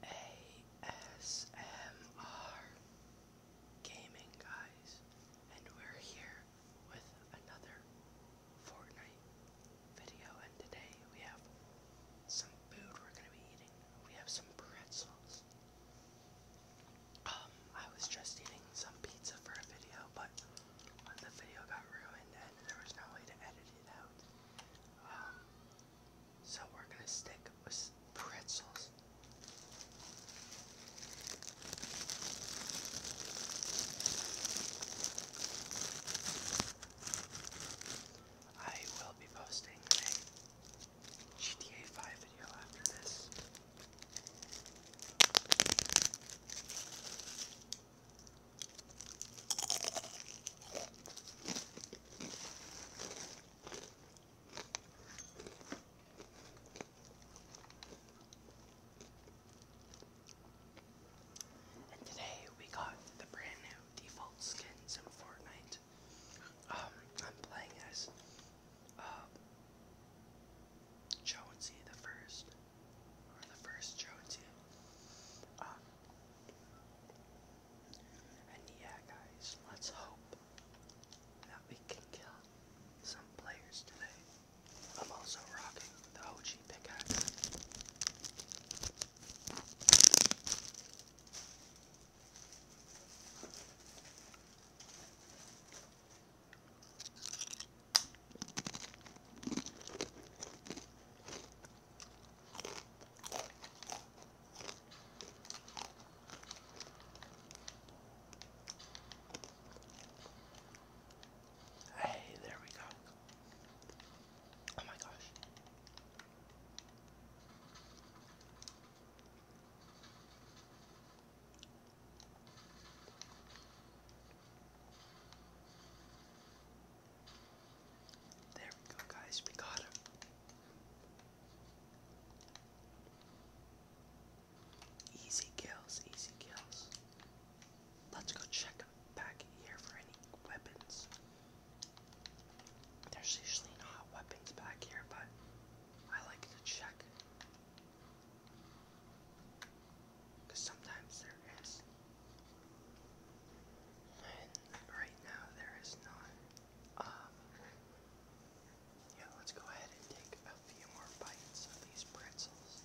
ASMR Gaming guys, and we're here with another Fortnite video and today we have some food we're gonna be eating. We have some pretzels. Um, I was just eating some pizza for a video, but the video got ruined and there was no way to edit it out. Um, so we're going to stick with pretzels. I will be posting a GTA 5 video after this. And today we got the brand new default skins in Fortnite. Um, I'm playing as uh, Jonesy the first, or the first Jonesy. Um, and yeah, guys, let's hope that we can kill some players today. I'm also rocking the OG pickaxe. Hey, there we go. Oh my gosh. There we go, guys. We got him. Easy kills, easy kills. Let's go check back here for any weapons. There's usually not weapons back here, but I like to check. Because sometimes there is. And right now there is none. Um, yeah, let's go ahead and take a few more bites of these pretzels.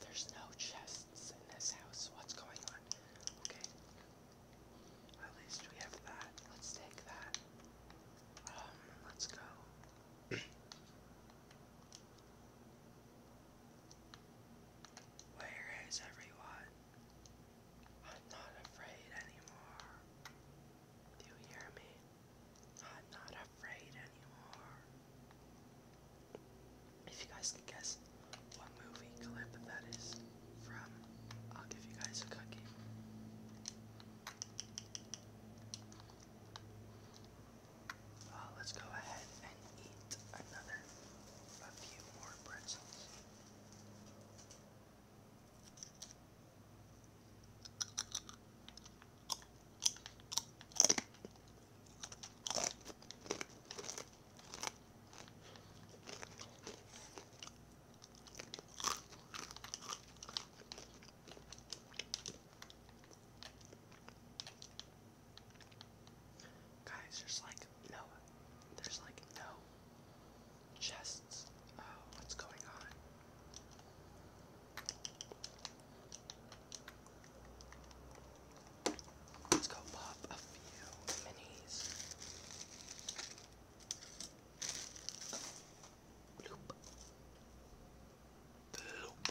There's no chests in this house. What's going on? Okay. At least we have that. Let's take that. Um, let's go. Where is everyone? I'm not afraid anymore. Do you hear me? i If you guys can guess what movie clip that is from, I'll give you guys a cookie. Uh, let's go ahead and eat another, a few more pretzels. Guys, there's like no, there's like no chests. Oh, what's going on? Let's go pop a few minis. Bloop. Bloop.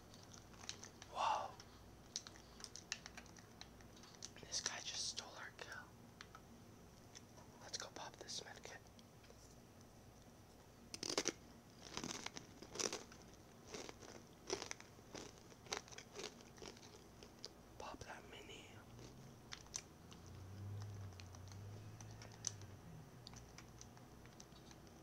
Whoa. This guy just stole our kill. Let's go pop this medkit. Pop that mini.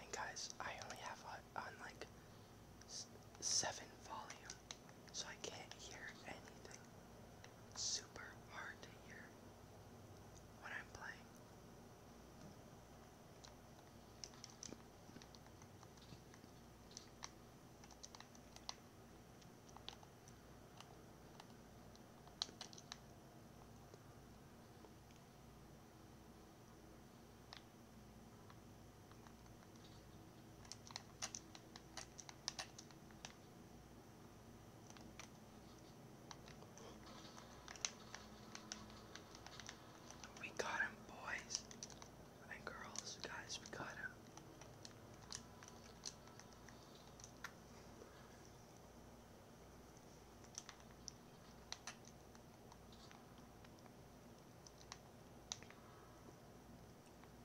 And guys, I only have on like seven volume, so I can't hear anything. super hard to hear when I'm playing. We got him, boys and girls, guys, we got him.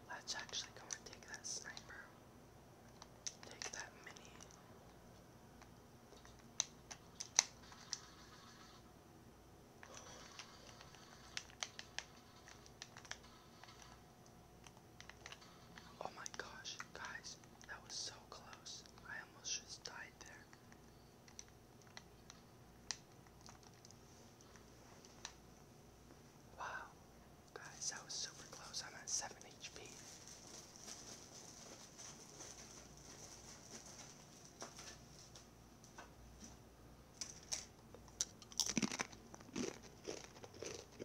Let's actually go and take that sniper. Take that mini. Oh my gosh, guys, that was so close. I almost just died there. Wow, guys, that was super close. I'm at 7 HP.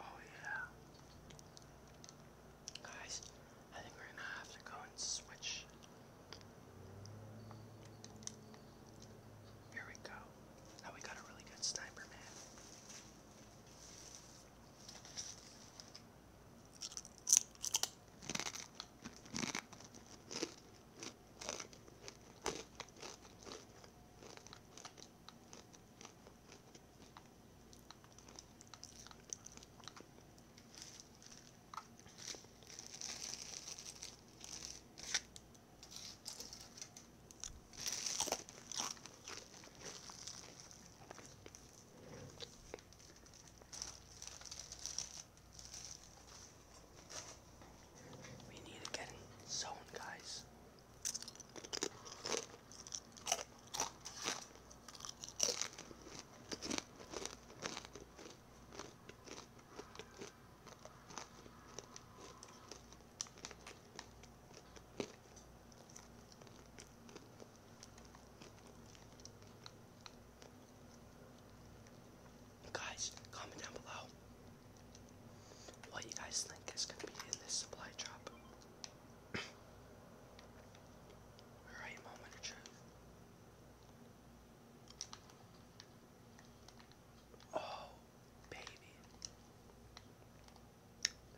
Oh yeah. Guys, I think we're gonna have to go and switch. Here we go. Now we got a really good sniper we need to get in zone, guys. Guys, comment down below what you guys think is going to be in this supply drop. Alright, moment of truth. Oh, baby.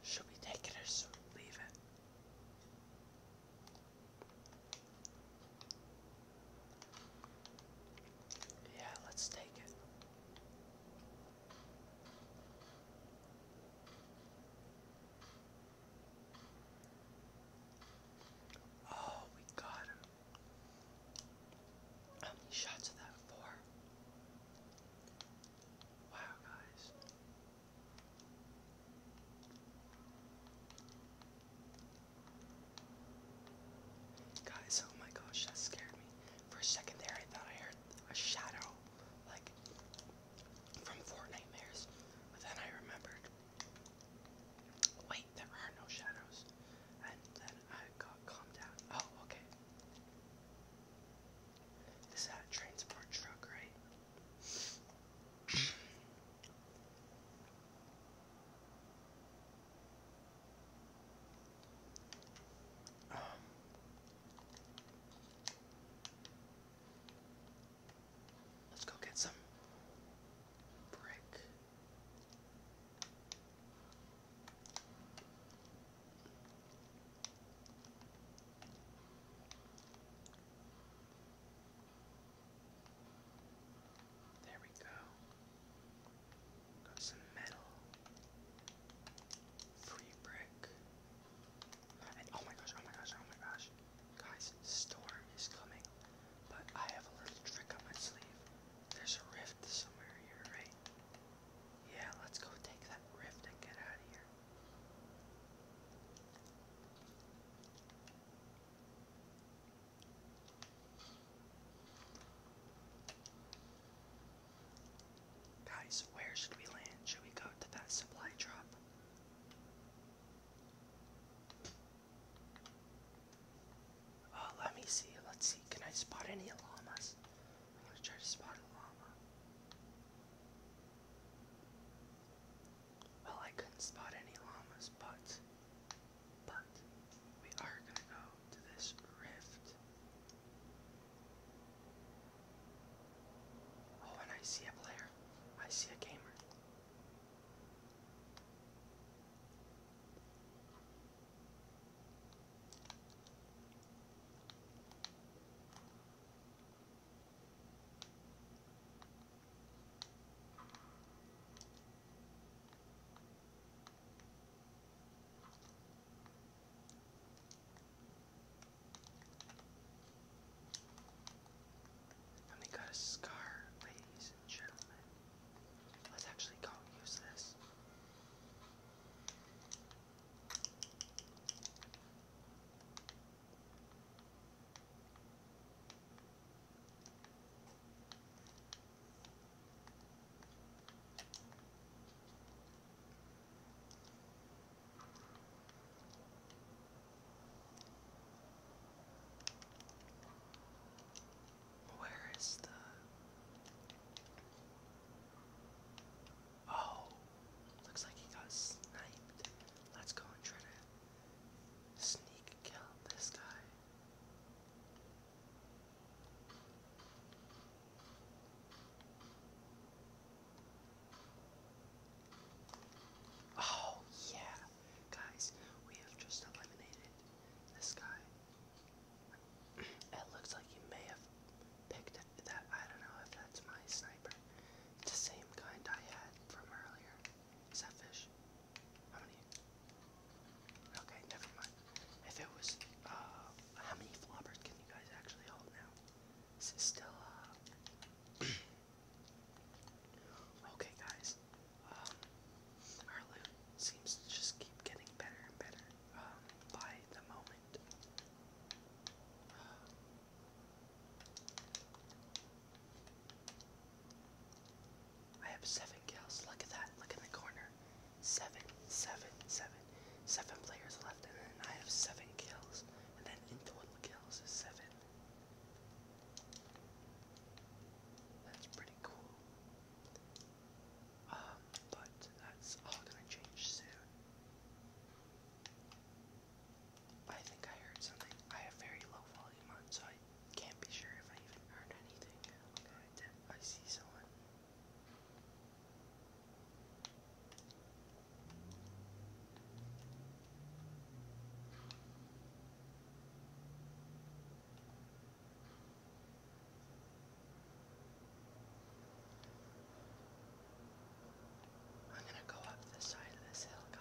Should we take it or should we leave it? Yeah, let's take it. Oh, we got him. How many shots of that? Four. Wow, guys. Guys, oh my gosh, that scared me. For a second there, I thought I heard a shadow like from Four But then I remembered wait, there are no shadows. And then I got calmed down. Oh, okay. is a transport truck, right? Um, Let's go get some brick. There we go. Got some metal. Free brick. And oh my gosh, oh my gosh, oh my gosh. Guys, storm is coming. But I have a little trick up my sleeve. There's a rift somewhere here, right? Yeah, let's go take that rift and get out of here. Guys, where should we land? Should we go to that supply drop? Oh, let me see. Let's see. Can I spot any llamas? I'm gonna try to spot a llama. Well, I couldn't spot any llamas, but but we are gonna go to this rift. Oh, and I see a player. I see a gamer. And we got a scar, ladies and gentlemen. Let's actually call use this. Where is the Oh looks like he got sniped. Let's go and try to sneak kill this guy. Oh, yeah. Guys, we have just eliminated this guy. It looks like you may have picked that. I don't know if that's my sniper. It's the same kind I had from earlier. Is How many? Okay, never mind. If it was, uh, how many floppers can you guys actually hold now? This is still, uh... okay, guys. Um, our loot seems to just keep getting better and better, um, by the moment. I have seven kills. Look at that. Look in the corner. Seven, seven, seven seven. players left, and I have seven kills, and then in total kills is seven. That's pretty cool. Um, but that's all gonna change soon. I think I heard something. I have very low volume on, so I can't be sure if I even heard anything. Okay, I see someone. I'm going to go up the side of this hill, guys.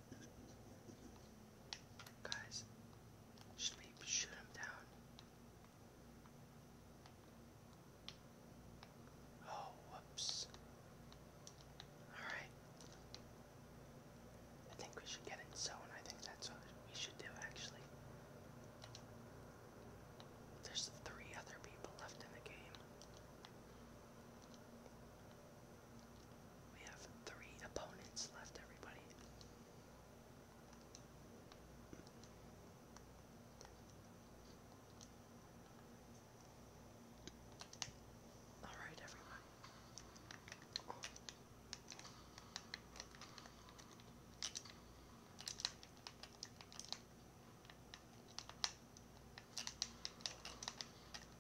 Guys, should shoot him down? Oh, whoops. Alright. I think we should get in zone. I think that's what we should do, actually. There's three other people left in the game. We have three opponents left, everybody. Alright, everyone.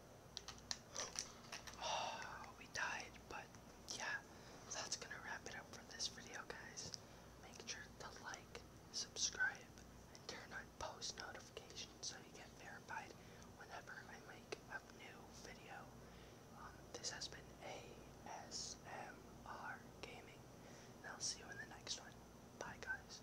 we died, but yeah, that's gonna wrap it up for this video, guys. Make sure to like, subscribe, and turn on post notifications so you get verified whenever I make a new video. Um, this has been ASMR Gaming, and I'll see you in the next one. Bye, guys.